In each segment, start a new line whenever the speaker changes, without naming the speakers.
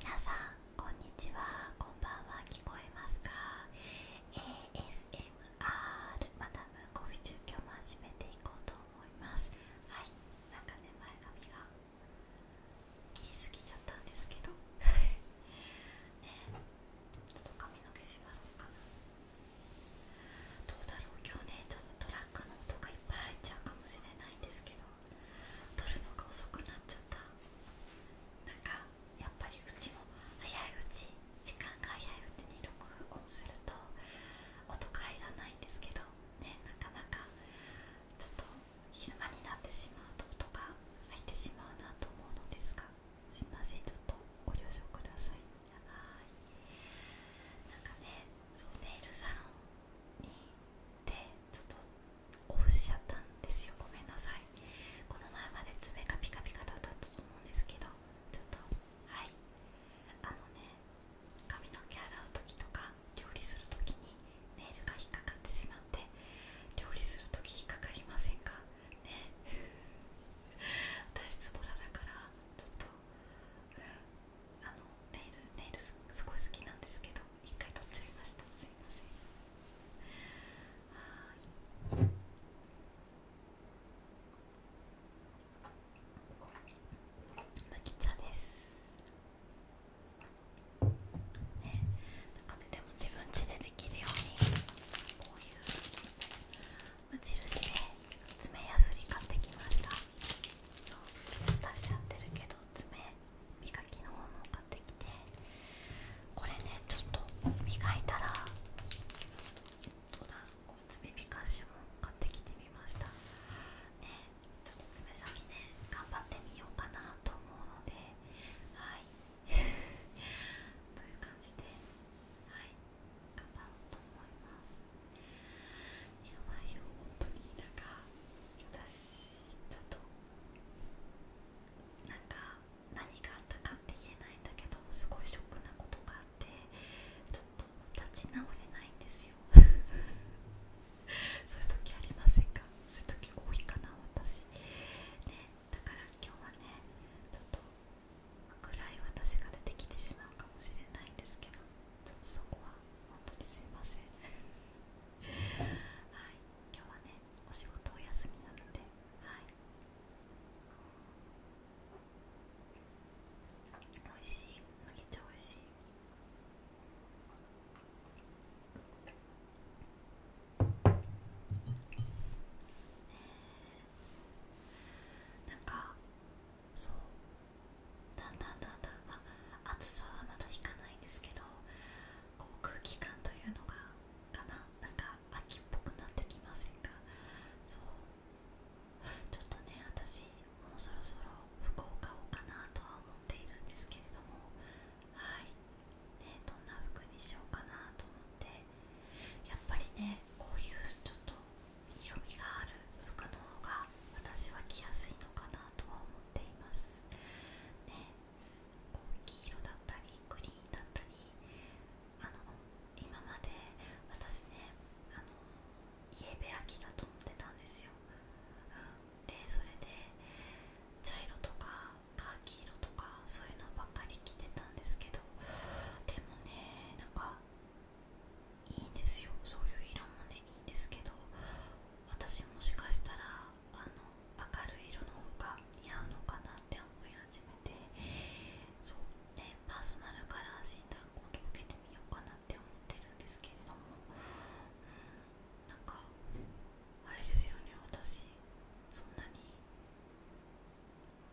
皆さんこんにちはこんばんは聞こえますか ASMR マダムコフィ中今日も始めていこうと思いますはいなんかね前髪が切りすぎちゃったんですけど ねちょっと髪の毛縛ろうかなどうだろう今日ねちょっとトラックの音がいっぱい入っちゃうかもしれないんですけど撮るのが遅くなっちゃったなんかやっぱりうちも早いうち時間が早いうちに録音すると音が入らないんですけどねなかなかちょっと昼間になってしまうと音が入ってしまうなと思うのですがすいませんちょっとご了承くださいじゃはいなんかねそうネイルサロンにちょっとオフしちゃったんですよごめんなさいこの前まで爪がピカピカだったと思うんですけどちょっとはいあのね髪の毛洗う時とか料理する時にネイルが引っかかってしまって料理する時引っかかりませんかね私ズボラだからちょっと、うん、あのネイルネイルすごい好きなんですけど一回取っちゃいましたすいませんは茶ですねなんかねでも自分家でできるようにこういう無印で爪やすり買ってきましたそうょっと出しちゃってるけど爪磨きのものを買ってきてこれねちょっと磨いたらどうだこう爪磨かも買ってきてみましたねちょっと爪先ね頑張ってみようかなと思うのではい という感じではい頑張ろうと思いますやばいよ本当になんか私ちょっとなんか何があったかって言えないんだけどすごいショックなことがあってちょっと立ち直れないんですよ そういう時ありませんかそういう時多いかな私ねだから今日はねちょっと暗い私が出てきてしまうかもしれないんですけどちょっとそこは本当にすいません はい今日はねお仕事お休みなのではいおいしい麦茶おいしいなんかそうだんだんだんだんまあ暑さはまだ引かないんですけど空気感というのがかななんか秋っぽくなってきませんかそうちょっとね私もうそろそろ服を買おうかなとは思っているんですけれどもはいねどんな服にしようかなと思ってやっぱりねこういうちょっと色味がある服の方が私は着やすいのかなとは思っていますこう黄色だったりグリーンだったりあの今まで私ねあのイエベアだと思ってたんですよ、でそれで茶色とかカーキ色とかそういうのばっかり着てたんですけどでもねなんかいいんですよそういう色もねいいんですけど私もしかしたらあの明るい色の方が似合うのかなって思い始めてそうねパーソナルカラー診断今を受けてみようかなって思ってるんですけれども、うなんかあれですよね私そんなに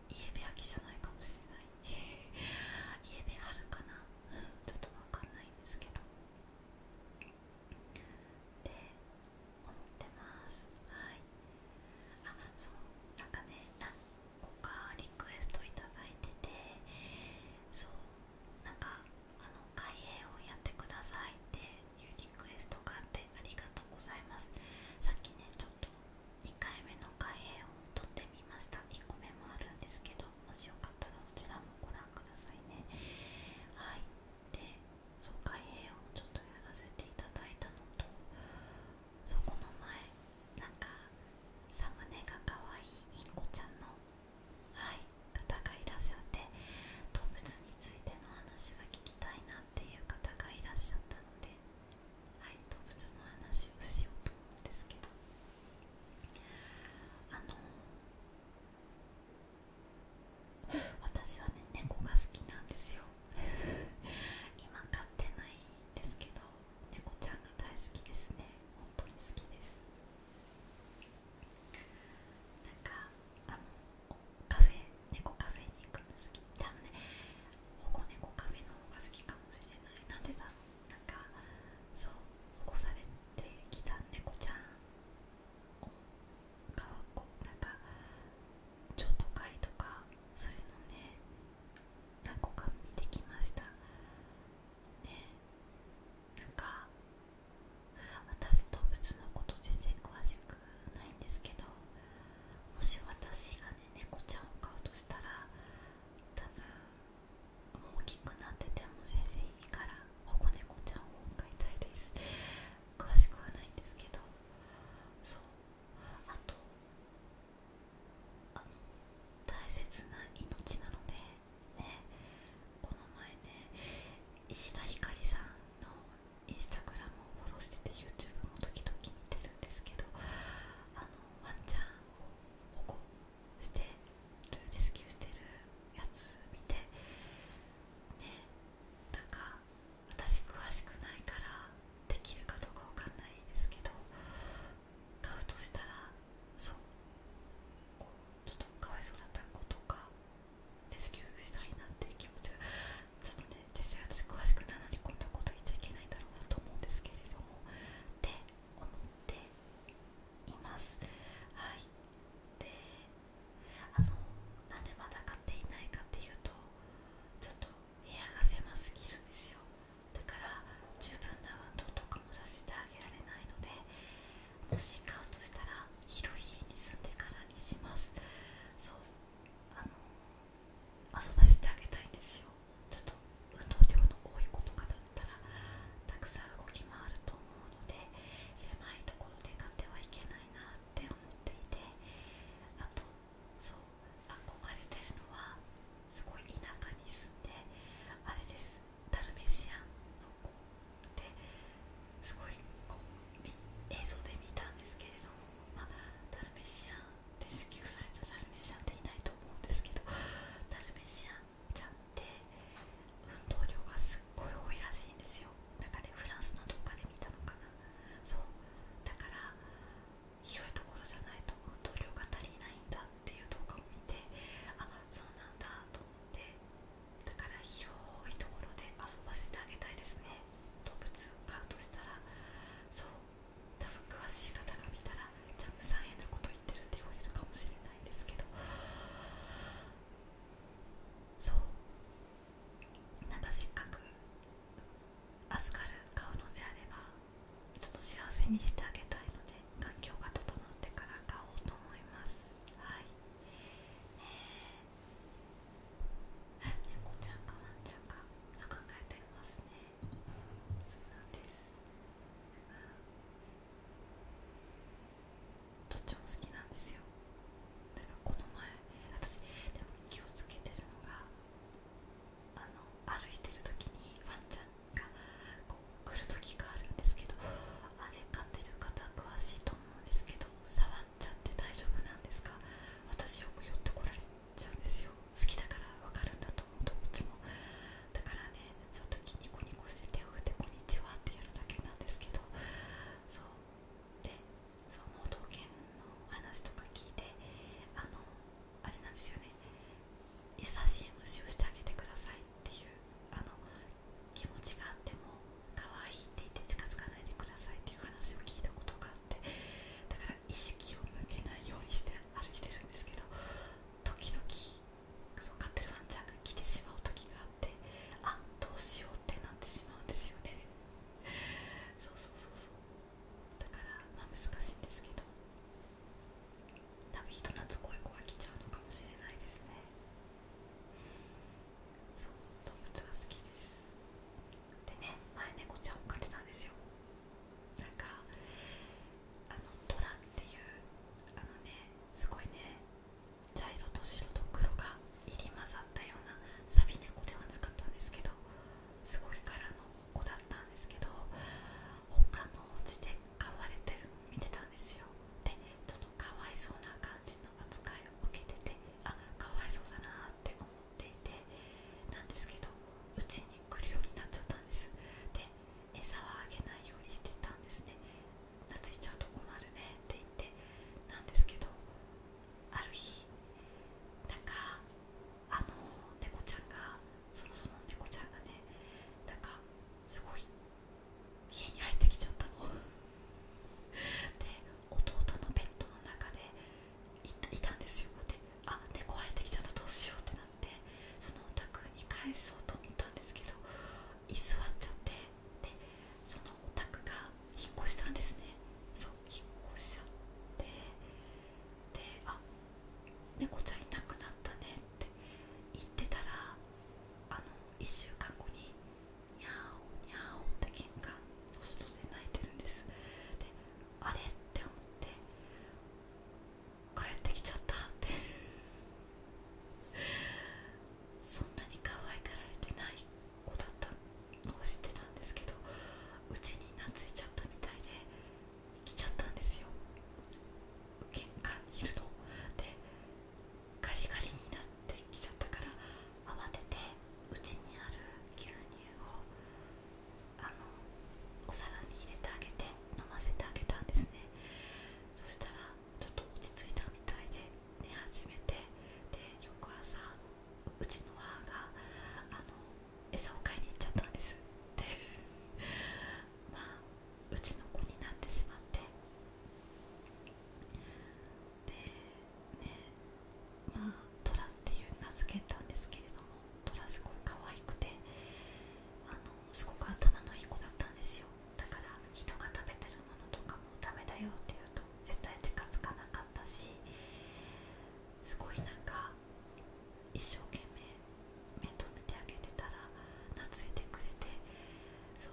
家部焼きじゃないかもしれない 家部あるかなちょっとわかんないんですけど。って思ってますはいあそうなんかね何個かリクエストいただいててそうなんかあの開閉をやってくださいっていうリクエストがあってありがとうございますさっきねちょっと2回目の開閉を撮ってみました1個目もあるんですけどもしよかったらそちらもご覧くださいねはいで疎開兵をちょっとやらせていただいたのとそこの前なんかサムネが可愛いインコちゃんの、はい、方がいらっしゃって動物についての話が聞きたいなっていう方がいらっしゃったので、はい、動物の話をしようと思うんですけどあの私はね猫が好きなんですよ今飼ってないんですけど猫ちゃんが大好きですね本当に好きですなんかあのカフェ猫カフェに行くの好き多分ね保護猫カフェの方が好きかもしれない何でだろうなんかそう保護されてきた猫ちゃんかこなんか超都会とかそういうのね何個か見てきましたねなんか私動物のこと全然詳しくないんですけどもし私がね猫ちゃんを飼うとしたら多分大きくなってても先生いいから保護猫ちゃんを飼いたいです詳しくはないんですけどそうあとあの大切な命なのでねこの前ね石田ひかりさんのインスタグラムをフォローしてて YouTube も時々見てるんですけどあのワンちゃんを保護してるレスキューしてるやつ見てねなんか私詳しくないからできるかどうかわかんないですけど買うとしたらそうちょっとかわいそうだった子とかレスキューしたいなっていう気持ちがちょっとね実際私詳しくないのにこんなこと言っちゃいけないんだろうなと思うんですけれどもって思っていますはいであの何でまだ買っていないかっていうとちょっと部屋が狭すぎるんですよだから十分な運動とかもさせてあげられないのでもし買うとしたら広い家に住んでからにしますそうあの遊ばせてあげたいんですよちょっと運動量の多い子とかだったらたくさん動き回ると思うので狭いところで買ってはいけないなっって思っていてあとそう憧れてるのはすごい田舎に住んであれですダルメシアンの子ですごいこう映像で見たんですけれども、まダルメシアンレスキューされたダルメシアンっていないと思うんですけどダルメシアンちゃって運動量がすっごい多いらしいんですよなかねフランスのどっかで見たのかなそうだから広いところじゃないと本当が足りないんだっていう動画を見てあそうなんだと思ってだから広いところで遊ばせてあげたいですね動物を飼うとしたらそう多分詳しい方が見たらジャムさん変なこと言ってるって言われるかもしれないんですけどそうなんかせっかく預かる買うのであればちょっと幸せにしてあげたいので環境が整ってから買おうと思いますはいえー、猫ちゃんかワンちゃんかと考えていますねそうなんです、うんどっちも好きなんですよなんかこの前私でも気をつけてるのがあの歩いてる時にワンちゃんがこう来る時があるんですけどあれ飼ってる方詳しいと思うんですけど触っちゃって大丈夫なんですか私よく寄ってこられちゃうんですよ好きだから分かるんだと思うどっちもだからねそのっとニコニコして手を振って「こんにちは」ってやるだけなんですけどでそう盲導犬の話とか聞いてあのあれなんですよね優しい虫をしてあげてくださいっていうあの気持ちがあっても可愛いって言って近づかないでくださいっていう話を聞いたことがあってだから意識を向けないようにして歩いてるんですけど時々そう飼ってるワンちゃんが来てしまう時があっってあどうしようってなってしまうんですよねそうそうそうそうだからまあ難しいんですけど多分人懐っこい子は来ちゃうのかもしれないですねそう動物は好きですでね前猫ちゃんを飼ってたんですよなんかあのトラっていうあのねすごいね茶色と白と黒が入り混ざったようなサビ猫ではなかったんですけどすごい柄の子だったんですけど他のお家で飼われてる見てたんですよでちょっとかわいそうな感じの扱いを受けててあかわいそうだなって思っていてなんですけどうちに来るようになっちゃったんですで餌はあげないようにしてたんですね懐いちゃうと困るねって言ってなんですけどある日なんかあの猫ちゃんがそのその猫ちゃんがねなんかすごい家に入ってきちゃったの で弟のベッドの中でいたんですよであ猫入ってきちゃったどうしようってなってそのお宅に返そうと思ったんですけど居座っちゃってでそのお宅が引っ越したんですねそう引っ越しちゃってであ猫ちゃんいなくなったねって言ってたらあの1週間後にニャオニャおって玄関の外で泣いてるんですであれって思って帰ってきちゃったって そんなに可愛がられてない子だったのを知ってたんですけどうちに懐いちゃったみたいで来ちゃったんですよ玄関にいるのでガリガリになってきちゃったから慌ててうちにある牛乳をあのお皿に入れてあげて飲ませてあげたんですねそしたらちょっと落ち着いたみたいで寝始めてで翌朝うちの母があの餌を買いに行っちゃったんですって まあうちの子になってしまってでねまあトラっていう名付けたんですけれどもトラすごい可愛くてあのすごく頭のいい子だったんですよだから人が食べてるものとかもダメだよっていうと絶対手がかなかったしすごいなんか一生懸命目止めてあげてたら懐いてくれてそう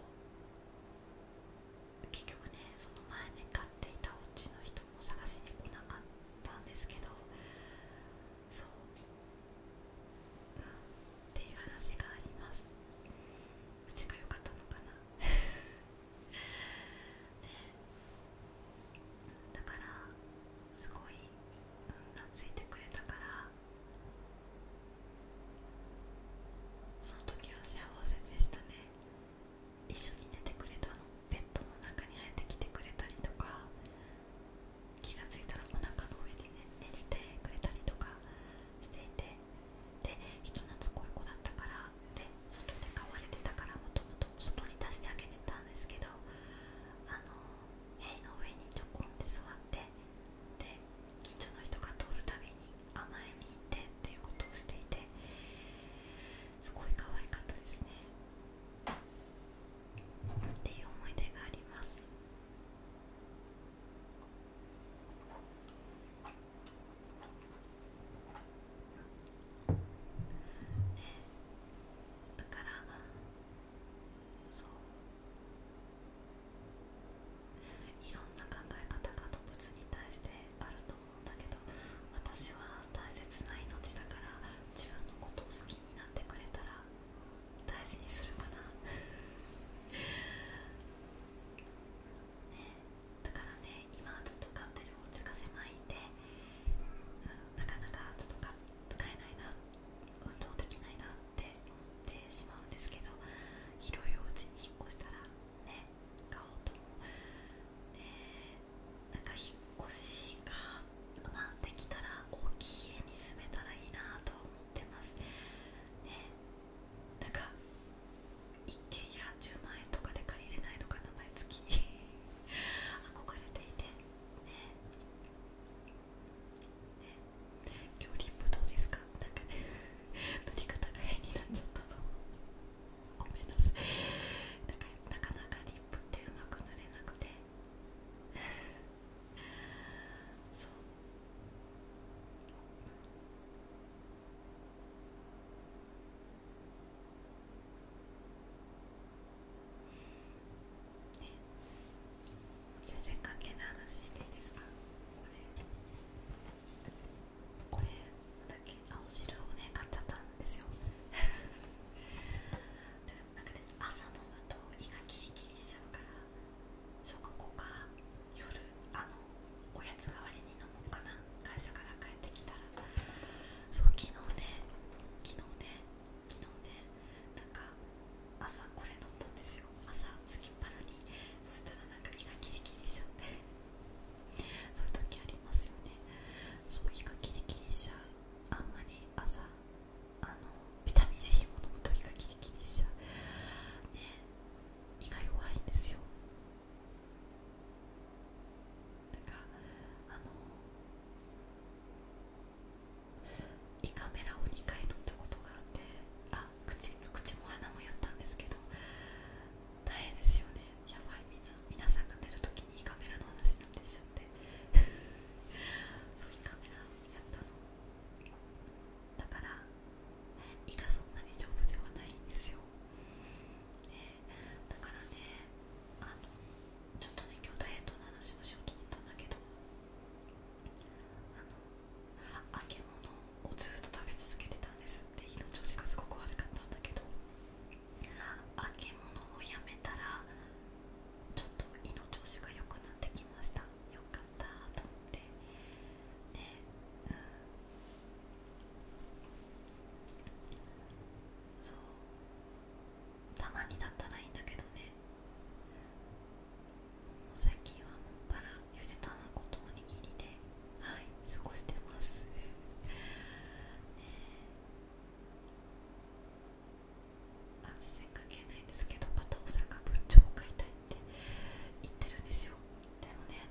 結局ねその前に飼っていたおちの人も探しに来なかったんですけどそうっていう話がありますうちが良かったのかなだからすごい運がついてくれたからその時は幸せでしたね一緒に寝てくれたのベッドの中に入ってきてくれたりとか気が付いたらお腹の上に、ね、寝てくれたりとかしていてで人懐っこい子だったからで外で飼われてたからもともと外に出してあげてたんですけどあの塀の上にちょこんで座ってで近所の人が通るたびに甘えに行ってっていうことをしていてすごい可愛かったですねっていう思い出がありますね。だからそういろんな考え方が動物に対してあると思うんだけど私は大切な命だから自分のことを好きになってくれたら大事にするかなねえ だからね今はちょっと買ってるおちが狭いんで、うなかなかちょっと買えないな運動できないなって思ってしまうんですけど広いおうちに引っ越したらね買おうと思なんか引っ越しが、まあ、できたら大きい家に住めたらいいなと思ってますねなんか一軒家10万円とかで借りれないのか名前好き憧れていてねね今日リップどうですかなんかね 乗り方が変になっちゃったのごめんなさいなかなかなかリップってうまく塗れなくて そう全然関係ない話していいですかこれこれだけ青汁をね買っちゃったんですよ なんかね朝飲むと胃がキリキリしちゃうから食後か夜あのおやつ代わりに飲もうかな会社から帰ってきたらそう昨日ね昨日ね昨日ねなんか朝これ飲んだんですよ朝すきっぱらにそしたらなんか胃がキリキリしちゃってそういう時ありますよねそう胃がキリキリしちゃうあんまり朝あのビタミン C ものむと胃がキリキリしちゃうね胃が弱いんですよだかあの胃カメラを2回乗ったことがあってあ口口も鼻もやったんですけど大変ですよねやばいみんな皆さんが寝る時に胃カメラの話になってしちゃって そう胃カメラやったのだから胃がそんなに丈夫ではないんですよよ、ね、だからねあのちょっとね今日ダイエットの話もしようと思ったんだけどあの揚げ物をずっと食べ続けてたんですって火の調子がすごく悪かったんだけど揚げ物をやめたらちょっと胃の調子が良くなってきましたよかったと思ってそうたまになったらいいんだけどね最近はもっぱらゆで卵とおにぎりではい過ごしてますねあ全然関係ないんですけどまた大阪文鳥を買いたいって言ってるんですよでもね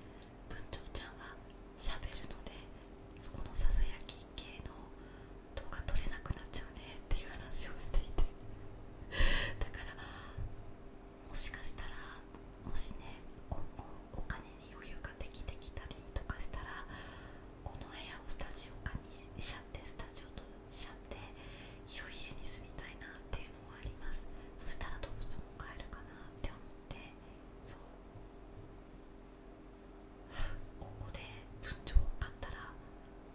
文鳥ちゃんはしゃべるのでそこのささやき系の動画撮れなくなっちゃうねっていう話をしていてだからもしかしたらもしね今後お金に余裕ができてきたりとかしたらこの部屋をスタジオ化にしちゃってスタジオとしちゃって広い家に住みたいなっていうのはありますそしたら動物も飼えるかなって思ってそうここで文鳥を買ったら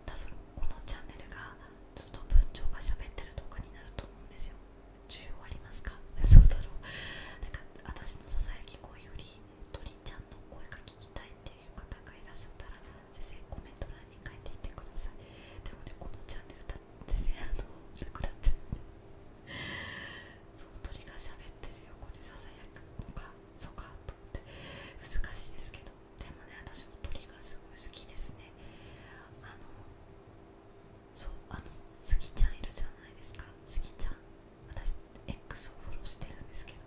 多分このチャンネルがずっと文鳥が喋ってる動画になると思うんですよ需要ありますか そうだろうなんか私のささやき声より鳥ちゃんの声が聞きたいっていう方がいらっしゃったら先生コメント欄に書いていってくださいでもねこのチャンネルだっ先生あのなくなっちゃうそう鳥がしゃべってる横でささやくのかそうかと思って難しいですけどでもね私も鳥がすごい好きですねあのそうあのスギちゃんいるじゃないですかスギちゃん私 X をフォローしてるんですけど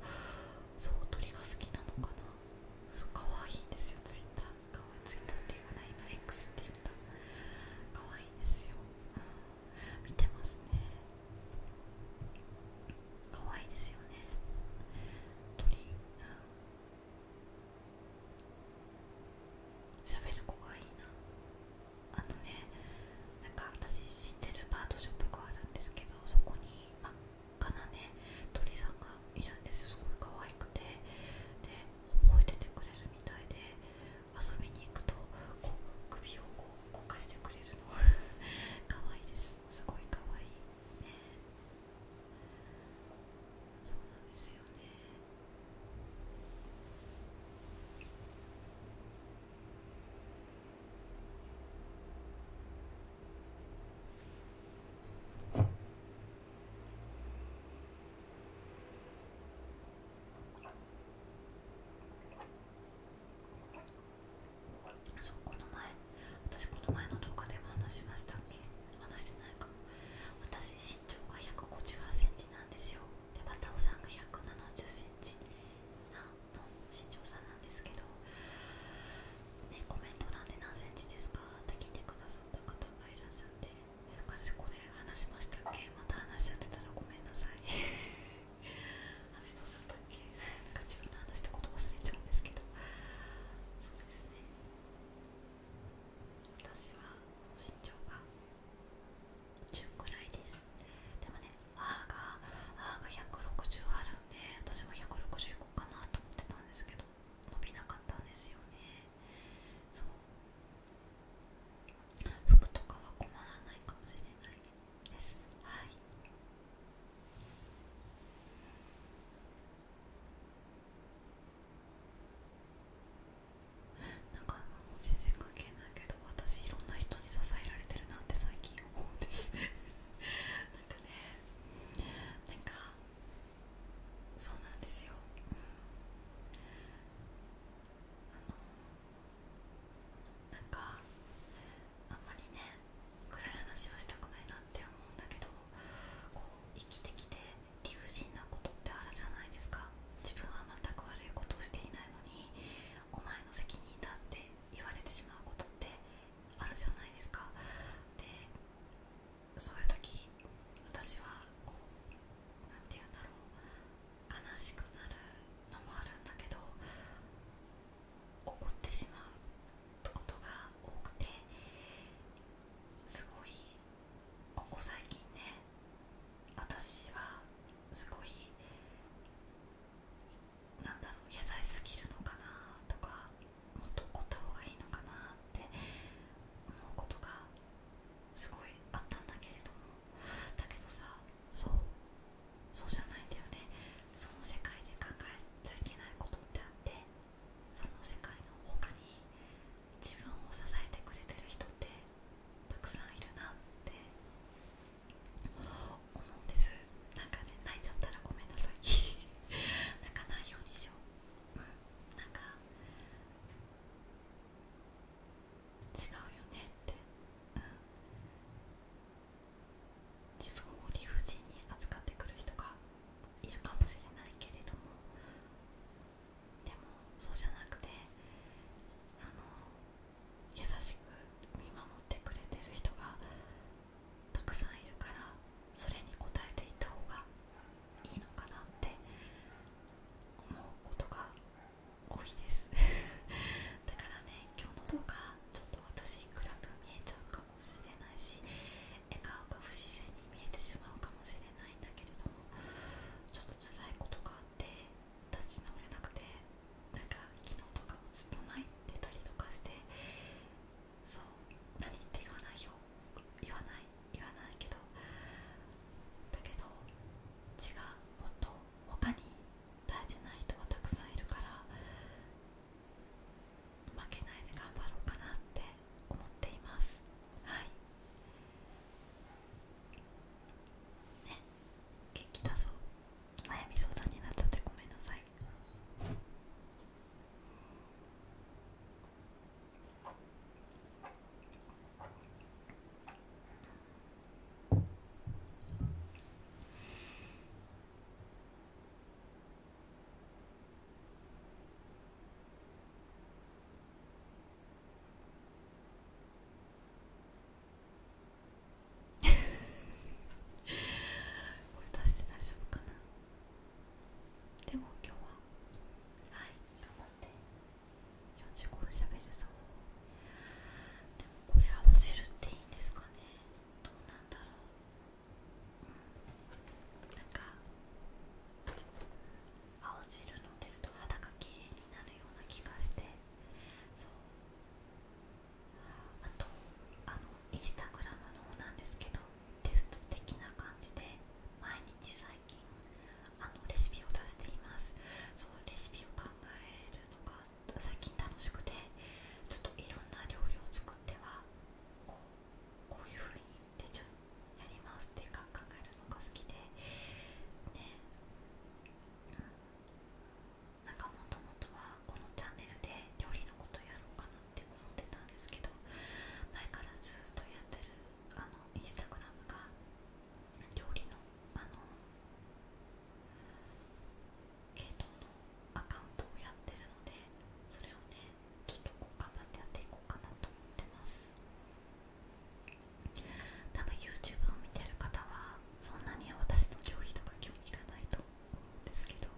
そう鳥が好きなのかなそう可愛いですよツイッターかわいいツイッターって言わない今 X って言った可愛いですよ、見てますね可愛いですよね鳥喋、うん、る子がいいなあのねなんか私知ってるパートショップがあるんですけどそこに真っ赤なね鳥さんがいるんですよすごい可愛くてで覚えててくれるみたいで遊びに行くとこう首をこう動かしてくれるのかわいいですすごいかわいいねそうなんですよねあそうこの前私この前の動画でも話しましたっけ話してないか私身長が1 5 8センチなんですよでバタオさんが1 7 0センチの身長差なんですけどねコメント欄で何 cm ですかって聞いてくださった方がいらっしゃって私これ話しましたっけまた話しちゃってたらごめんなさいあれどうだったっけなんか自分の話したこと忘れちゃうんですけどそうですね私は身長が10くらいですでもね母が母が160あるんで私も160いこうかなと思ってたんですけど伸びなかったんですよねそう服とかは困らないかもしれないですはいなんか全然関係ないけど私いろんな人に支えられてるなって最近思うんですなんかねなんかそうなんですよ、あのなんかあんまりね暗い話はしたくないなって思うんだけどこう生きてきて理不尽なことってあるじゃないですか自分は全く悪いことをしていないのにお前の責任だって言われてしまうことってあるじゃないですかでそういう時私はこう何て言うんだろう悲しくなるのもあるんだけど怒ってしまうことが多くてすごいここ最近ね私はすごいなんだろう野菜すぎるのかなとかもっと怒った方がいいのかなって思うことがすごいあったんだけれどもだけどさそうそうじゃないんだよねその世界で考えちゃいけないことってあってその世界のほかに自分を支えてくれてる人ってたくさんいるなって思うんですなんかね泣いちゃったらごめんなさい 泣かないようにしよう、うなんか違うよねって、うん、自分を理不尽に扱ってくる人がいるかもしれないけれどもでもそうじゃなくてあの優しく見守ってくれてる人がたくさんいるからそれに応えていった方がいいのかなって思うことが多いです だからね今日の動画ちょっ私暗く見えちゃうかもしれないし笑顔が不自然に見えてしまうかもしれないんだけれどもちょっと辛いことがあって立ち直れなくてなんか昨日とかもずっと泣いてたりとかしてそう何って言わないよ言わない言わないけどだけど違うもっと他に大事な人がたくさんいるから負けないで頑張ろうかなって思っていますはいね元気だそう悩み相談になっちゃってごめんなさいこれ出して大丈夫かなでも今日ははい頑張って45分しゃべるぞでもこれ青るっていいんですかねどうなんだろう、なんか青汁飲んでると肌が綺麗になるような気がしてあとあのインスタグラムの方なんですけどテスト的な感じで毎日最近あのレシピを出していますそうレシピを考えるの最近楽しくてちょっといろんな料理を作ってはこうこういう風に手順やりますっていうか考えるのが好きでねなんかもともとはこのチャンネルで料理のことやろうかなって思ってたんですけど前からずっとやってるあのインスタグラムが料理のあの系統のアカウントをやってるのでそれをねちょっと頑張ってやっていこうかなと思ってます多分 YouTube を見てる方はそんなに私の料理とか興味がないと思うんですけど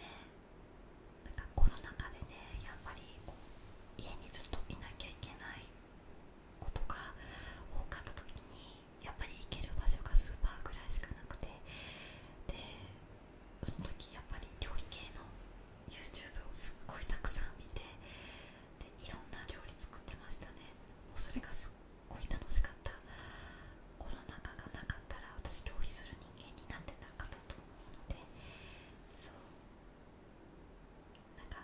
ねなんかコロナ禍でねやっぱりこう家にずっといなきゃいけないことが多かった時にやっぱり行ける場所がスーパーぐらいしかなくてでその時やっぱり料理系の YouTube をすっごいたくさん見てでいろんな料理作ってましたねそれがすっごい楽しかったコロナ禍がなかったら私料理する人間になってなかったと思うのでそうなんか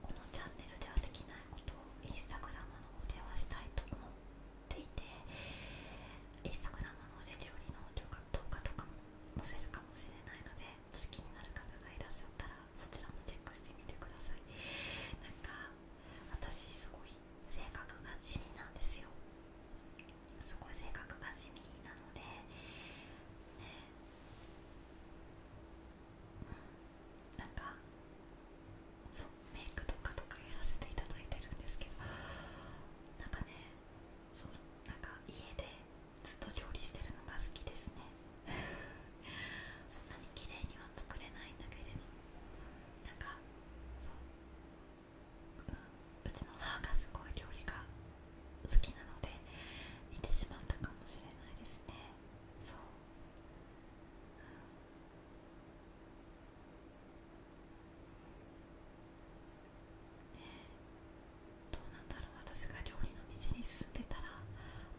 このチャンネルではできないことをインスタグラムの方ではしたいと思っっいてインスタグラムのレ料理の動画とかも載せるかもしれないのでもし気になる方がいらっしゃったらそちらもチェックしてみてくださいなんか私すごい性格が地味なんですよ すごい性格が地味なので、ねうん、なんかそうメイクとかとかやらせていただいてるんですけどなんかねそうなんか家でずっと料理してるのが好きですね そんなに綺麗には作れないんだけれどなんかそううちの母がすごい料理が好きなので似てしまったかもしれないですねそう、どうなんだろう私が料理の道に進んでたら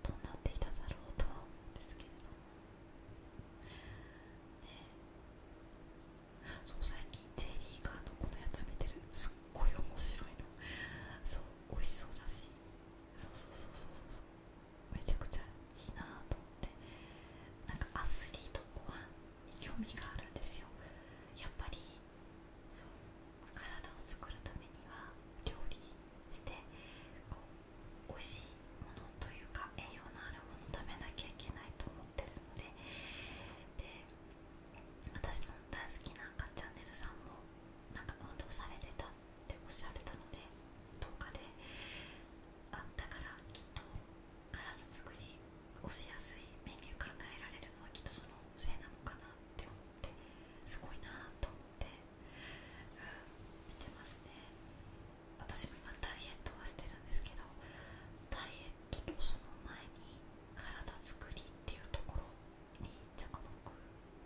どうなっていただろうとは思うんですけれどねそう最近ジェリーカーのこのやつ見てるすっごい面白いのそう美味しそうだしそうそうそうそうそうめちゃくちゃいいなと思ってなんかアスリートご飯に興味があるんですよやっぱりそう体を作るためには料理してこう美味しいものというか栄養のあるもの食べなきゃいけないと思ってるのでで私の大好きなかチャンネルさんもなんか運動されてたっておっしゃってたので動画であったからきっと体作りをしやすいメニュー考えられるのはきっとそのせいなのかなって思ってすごいなと思って、見てますね私も今ダイエットはしてるんですけどダイエットとその前に体作りっていうところに着目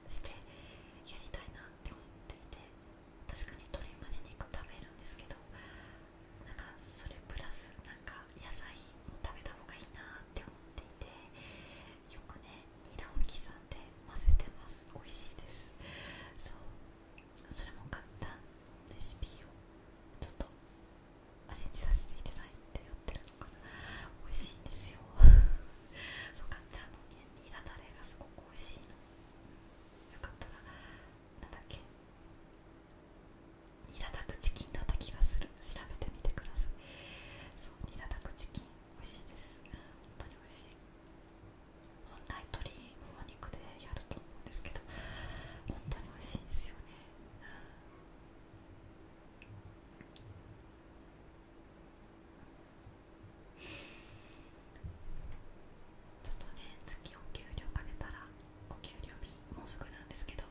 してやりたいなって思っていて確かに鶏むね肉食べるんですけどなんかそれプラスなんか野菜も食べた方がいいなって思っていてよくねニラを刻んで混ぜてます美味しいですそうそれも簡単レシピをちょっとアレンジさせていただいてやってるのかな美味しいんですよ そうかっちゃんのねニラだれがすごく美味しいのよかったらなだっけニラダクチキンだった気がする調べてみてくださいそうニラダクチキン美味しいです本当に美味しい本来鶏もも肉でやると思うんですけど本当に美味しいですよね、うんちょっとね月お給料かけたらお給料日もうすぐなんですけど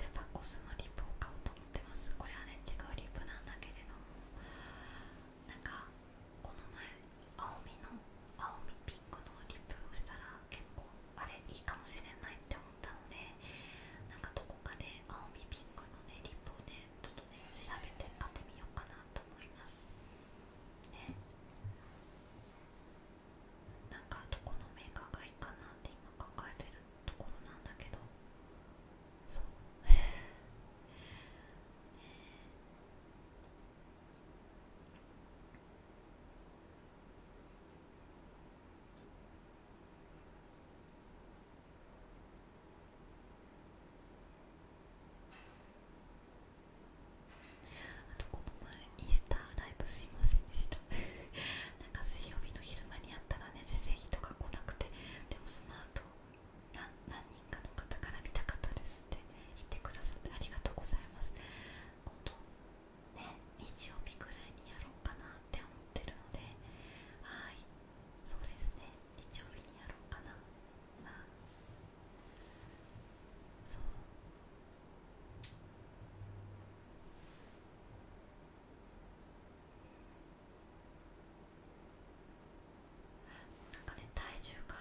デパコスのリップを買おうと思ってますこれはね違うリップなんだけれどもなんかこの前青みの青みピンクのリップをしたら結構あれいいかもしれないって思ったのでなんかどこかで青みピンクのねリップをねちょっとね調べて買ってみようかなと思います。ねなんかどこのメーカーがいいかなって今考えてるところなんだけどそうねえ あとこの前イースターライブすいませんでした なんか水曜日の昼間にあったらね全然人が来なくてでもその後な何人かの方から見た方ですって言ってくださってありがとうございます今度ね日曜日くらいにやろうかなって思ってるのではいそうですね日曜日にやろうかなそうなんかね体重が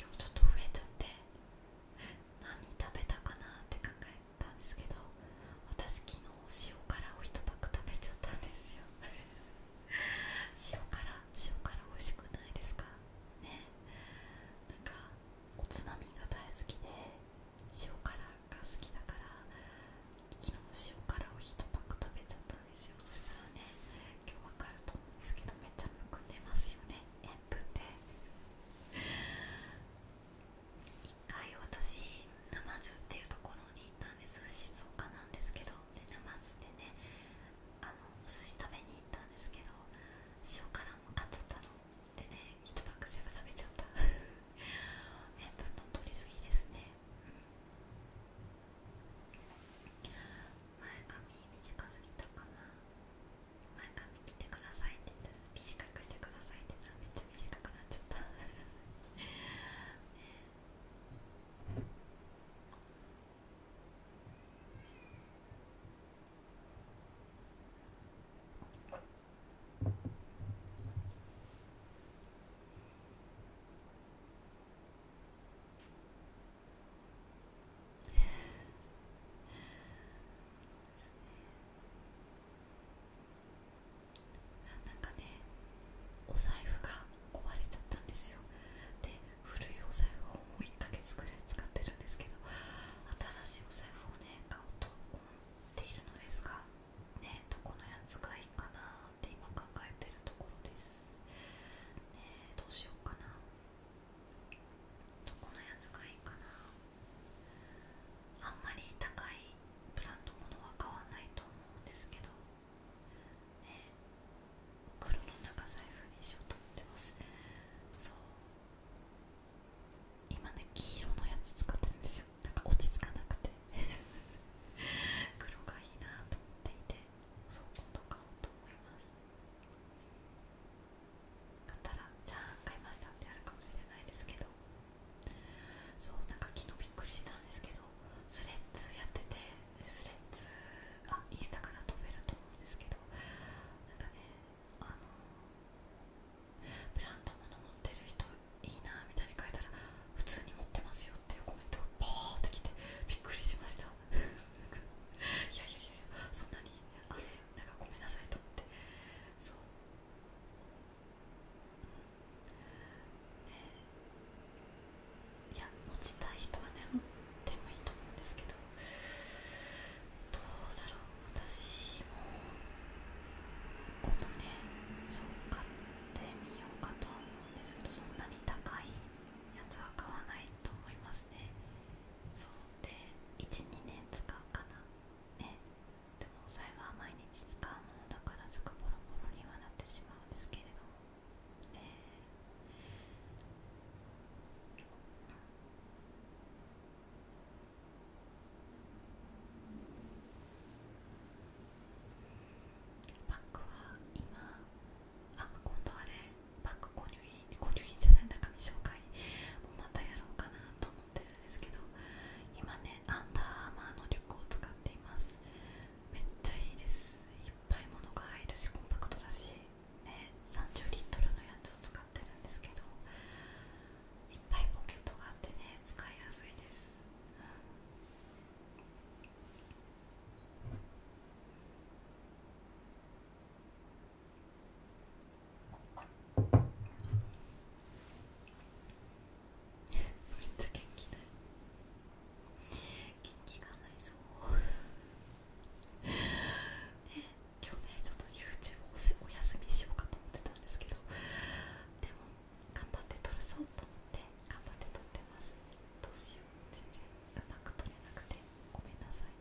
今日ちょっと増えちゃって何食べたかなって考えたんですけど私昨日塩辛を1パック食べちゃったんですよ 塩辛塩辛美味しくないですかねなんかおつまみが大好きで塩辛が好きだから昨日塩辛を1パック食べちゃったんですよそしたらね今日分かると思うんですけどめっちゃむくんでますよね塩分で一回私ナマズっていうところに行ったんです静岡なんですけどでナ沼津でねあのお寿司食べに行ったんですけど塩辛も買っちゃったのでね一晩ック全部食べちゃった 塩分の取りすぎですね、前髪短すぎたかな前髪見てくださいって言ったら短くしてくださいって言ったらめっちゃ短くなっちゃったねえ なんかねお財布が壊れちゃったんですよ古いお財布をもう1ヶ月くらい使ってるんですけど新しいお財布をね買おうと思っているのですがねどこのやつがいいかなって今考えてるところですねどうしようかなどこのやつがいいかなあんまり高いブランドものは買わないと思うんですけどね黒の中財布にしようってますそう今ね黄色のやつ使ってるんですよなんか落ち着かなくて 黒がいいなと思っていてそう今度買おうと思います買ったらじゃあ買いましたってあるかもしれないですけどそうなんか昨日びっくりしたんですけどスレッズやっててスレッズあインスタから飛べると思うんですけどなんかねあのブランド物持ってる人いいなみたいに書いたら普通に持ってますよっていうコメントがパーってきてびっくりしました いやいやいやいやそんなにあれなんかごめんなさいと思ってそうねいや持ちたい人はね持っもいいと思うんですけどどうだろう私もこのねそう買ってみようかとは思うんですけどそんなに高いやつは買わないと思いますねそうで12年使うかなねでもお財布は毎日使うものだからすぐボロボロにはなってしまうんですけれども、えバックは今あ今度あれバック購入品購入品じゃない中身紹介もまたやろうかなと思ってるんですけど今ねアンダーアーマーのリュックを使っていますめっちゃいいですいっぱい物が入るしコンパクトだしね30リットルのやつを使って。てるんですけどいっぱいポケットがあってね使いやすいです、めっちゃ元気ない元気がないぞね今日ねちょっと YouTube をお休みしようかと思ってたんですけどでも頑張って撮るぞと思って頑張って撮ってますどうしよう全然うまく撮れなくてごめんなさい、な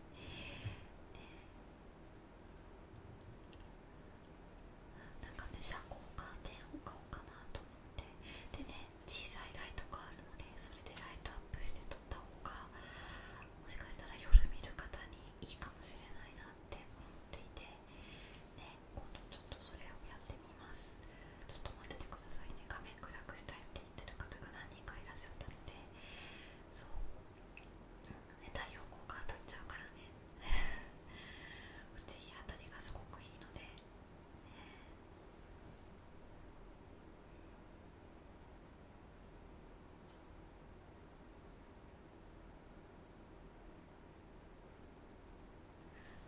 んかね車高カーテンおうかなと思ってでね小さいライトがあるのでそれでライトアップして撮った方がもしかしたら夜見る方にいいかもしれないなって思っていて、ね、今度ちょっとそれをやってみますちょっと待っててくださいね画面暗くしたいって言ってる方が何人かいらっしゃったのでそう、うんね、太陽光が当たっちゃうからね うち日当たりがすごくいいのでね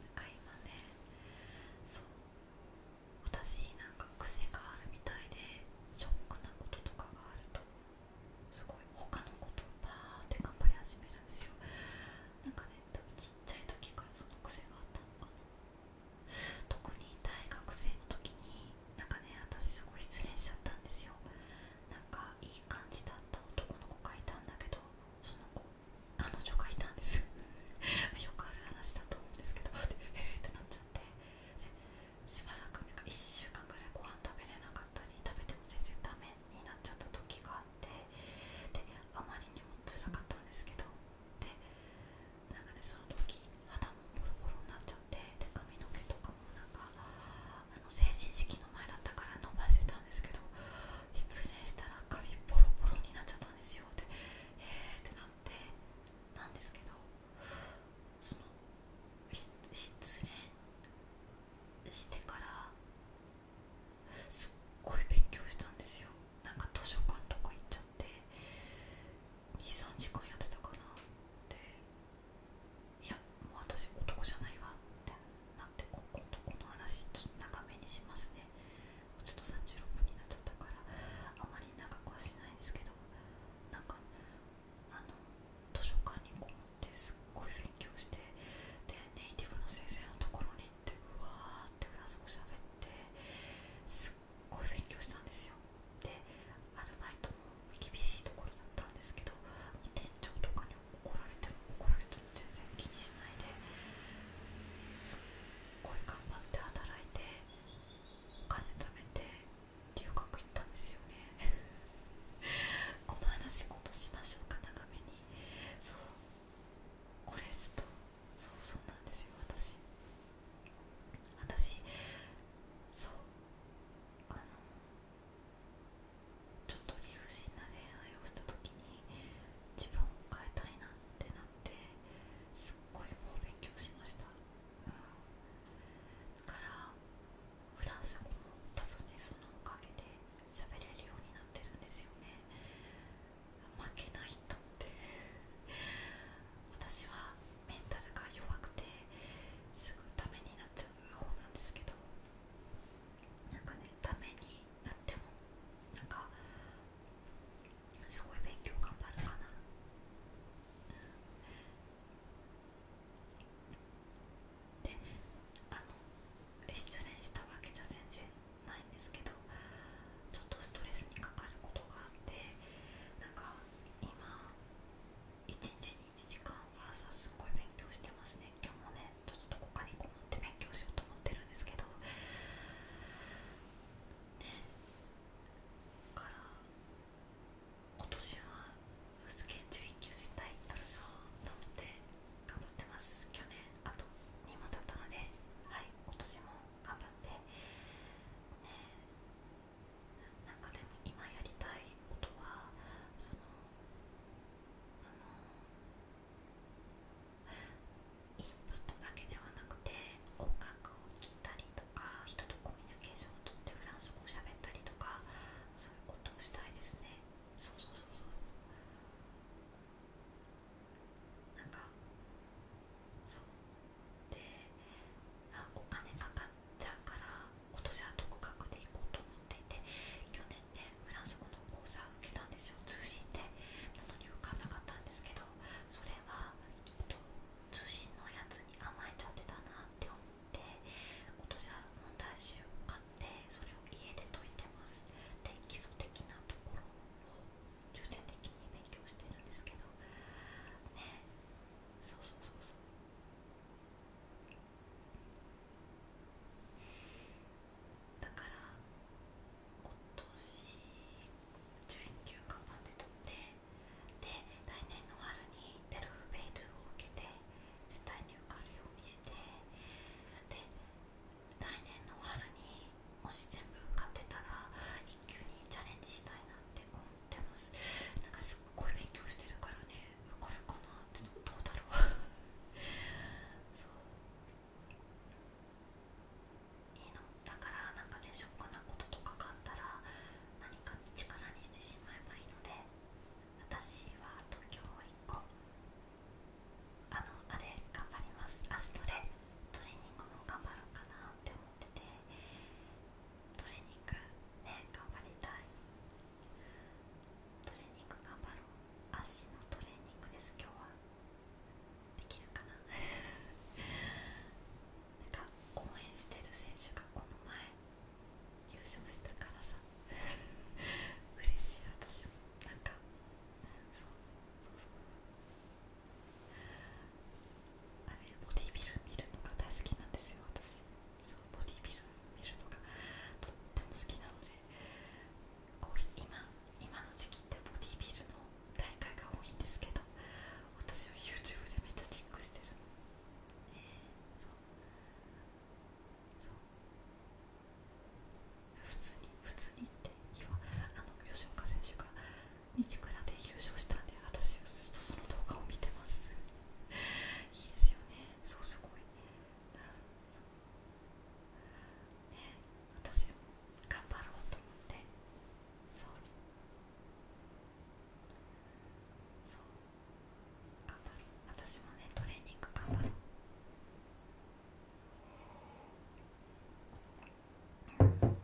なんか今ねそう私なんか癖があるみたいでショックなこととかがあるとすごい他のことをバーって頑張り始めるんですよなんかね多分ちっちゃい時からその癖があったのかな特に大学生の時になんかね私すごい失恋しちゃったんですよなんかいい感じだった男の子がいたんだけどその子彼女がいたんです よくある話だと思うんですけどでえってなっちゃってしばらくなん1週間ぐらいご飯食べれなかったり食べても全然ダメになっちゃった時があってであまりにもつらかったんですけどでなかねその時肌もボロボロになっちゃで髪の毛とかもなんかあの成人式の前だったから伸ばしてたんですけど失礼したら髪ボロボロになっちゃったんですよでえーってなってなんですけど失恋してからすっごい勉強したんですよなんか図書館とか行っちゃって23時間やってたかなって。いやもう私男じゃないわってなってこ度この話ちょっと長めにしますねうちょっと36分になっちゃったからあまり長くはしないんですけどなんかあの図書館にこもってすっごい勉強してでネイティブの先生のところに行ってうわーってフランス語喋ってすっごい勉強したんですよでアルバイトも厳しいところだったんですけど店長とかに怒られても怒られても全然気にしないですっごい頑張って働いてお金貯めて留学行ったんですよね この話今年しましょうか長めにそうこれずっとそうそうなんですよ私私そうあのちょっと理不尽な恋愛をした時に自分を変えたいなってなってすっごいもう勉強しました、だからフランス語も多分ねそのおかげで喋れるようになってるんですよね負けないとって私はメンタルが弱くてすぐためになっちゃう方なんですけどなんかねためになってもなんかすごい勉強頑張るかな、であの失恋したわけじゃ全然ないんですけどちょっとストレスにかかることがあってなんか今一日に。1時間はさすっごい勉強してますね今日もねちょっとどこかにこもって勉強しようと思ってるんですけどねから今年は物件11級絶対取るぞと思って頑張ってます去年あと2問だったのではい今年も頑張ってねなんかでも今やりたいことはそのあのインプットだけではなくて音楽を聴いたりとか人とコミュニケーションをとってフランス語をしゃべったりとかそういうことをしたいですねそうそうそうそうなんかそうであお金かかんちゃうから今年は独学で行こうと思っていて去年ねフランス語の講座を受けたんですよ通信でなのに受かんなかったんですけどそれはきっと通信のやつに甘えちゃってたなって思って今年は問題集を買ってそれを家で解いてますで基礎的なところを重点的に勉強してるんですけどねそうそうそうそうだから今年11級頑張って取ってで来年の春にデルフベイドゥを受けて絶対に受かるようにしてで来年の春にもし全部受かってたら1級にチャレンジしたいなってすなんかすっごい勉強してるからね分かるかなってどうだろういいのだからなんかねしょ、ックなこととかがあったら何かに力にしてしまえばいいので私は東京を1個あのあれ頑張りますあ、そトレトレーニングも頑張ろうかなって思っててトレーニングね頑張りたいトレーニング頑張ろう足のトレーニングです今日はできるかななんか応援してる選手がこの前優勝したからさ嬉しい私もなんかそうそうそうあれボディビル見るのが大好きなんですよ私ボディビル見るのがとっても好きなので今今の時期ってボディビルの大会が多いんですけど私は YouTube でめっちゃチェックしてる普通に普通にってあの吉岡選手が日倉で優勝したんで私ずっとその動画を見てますいいですよねそうすごいね私も頑張ろうと思ってそう頑張る私もねトレーニング頑張ろうん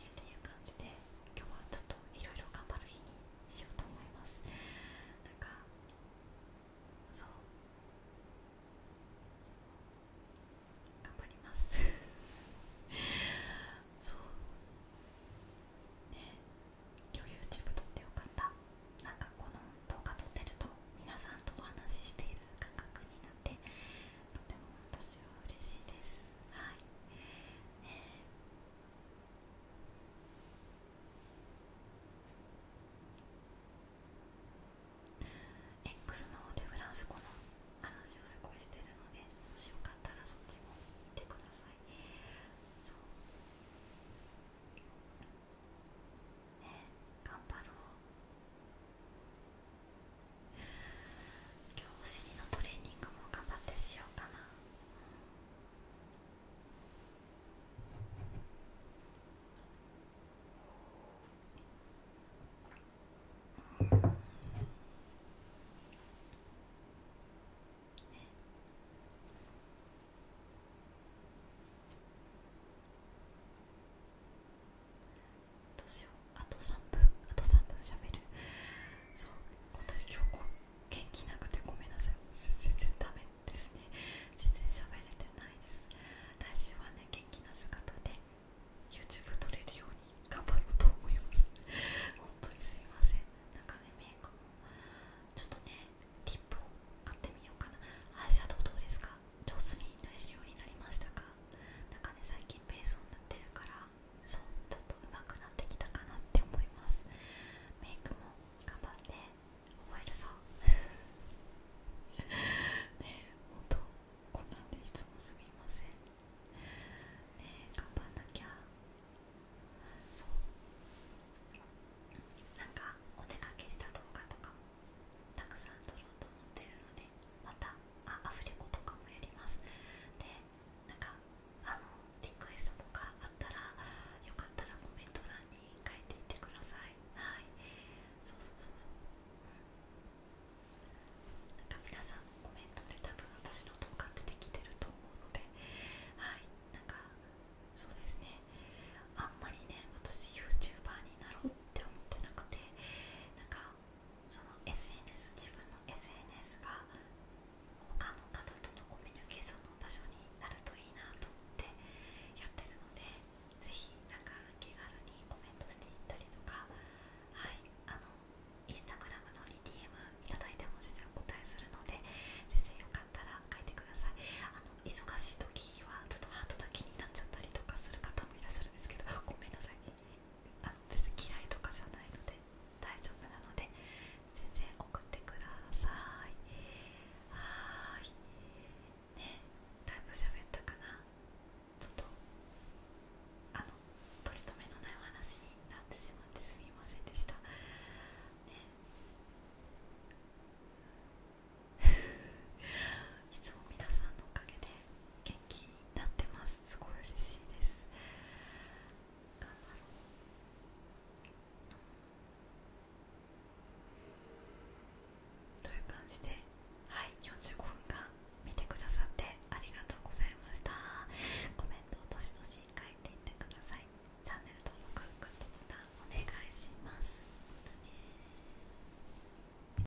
っていう感じで今日はちょっといろいろ頑張る日にしようと思いますなんかそう頑張ります そうね今日 YouTube 撮ってよかったなんかこの動画撮ってると皆さんとお話ししている感覚になって。なとても私は嬉しいですはい、えー、X のレフランス語の話をすごいしてるのでもしよかったらそっちも見てくださいそうね頑張ろう今日お尻のトレーニングも頑張ってしようかなうんねあどうしようあと3分あと3分しるそう本当に今日元気なくてごめんなさい全然ダメですね全然しゃべれてないです来週はね元気な姿で YouTube 撮れるように頑張ろうと思います本当にすいませんなんかねメイクもちょっとねリップを買ってみようかなアイシャドウどうですか上手に塗れるようになりましたかなんかね最近ベースを塗ってるからそうちょっと上手くなってきたかなって思いますメイクも頑張って覚えるさ。ねえほんとこんなんでいつもすみませんねえ頑張んなきゃそうなんかお出かけした動画とかもたくさん撮ろうと思ってるのでまたあアフレコとかもやりますでなんかあのリクエストとかあったらよかったらコメント欄に書いていってくださいはいそうそうそうそうなんか皆さんのコメントで多分私の動画出てきてると思うのではいなんかそうですねあんまりね私 YouTuber になろうって思ってなくてなんかその SNS 自分の SNS が他の方とのコミュニケーションの場所になるといいなと思ってやってるのでぜひなんか気軽にコメントしていったりとかはいあのインスタグラムのリ DM いただいても全然お答えするので先生よかったら書いてくださいあの忙しい時はちょっとハートだけになっちゃったりとかする方もいらっしすごめんなさいあの全然嫌いとかじゃないので大丈夫なので全然送ってくださいはーいねだいぶ喋ったかなちょっとあの取り留めのないお話になってしまってすみませんでしたね いつも皆さんのおかげで元気になってますすごい嬉しいですという感じではい45分間見てくださってありがとうございましたコメントをどしどし書いていってくださいチャンネル登録グッドボタンお願いします、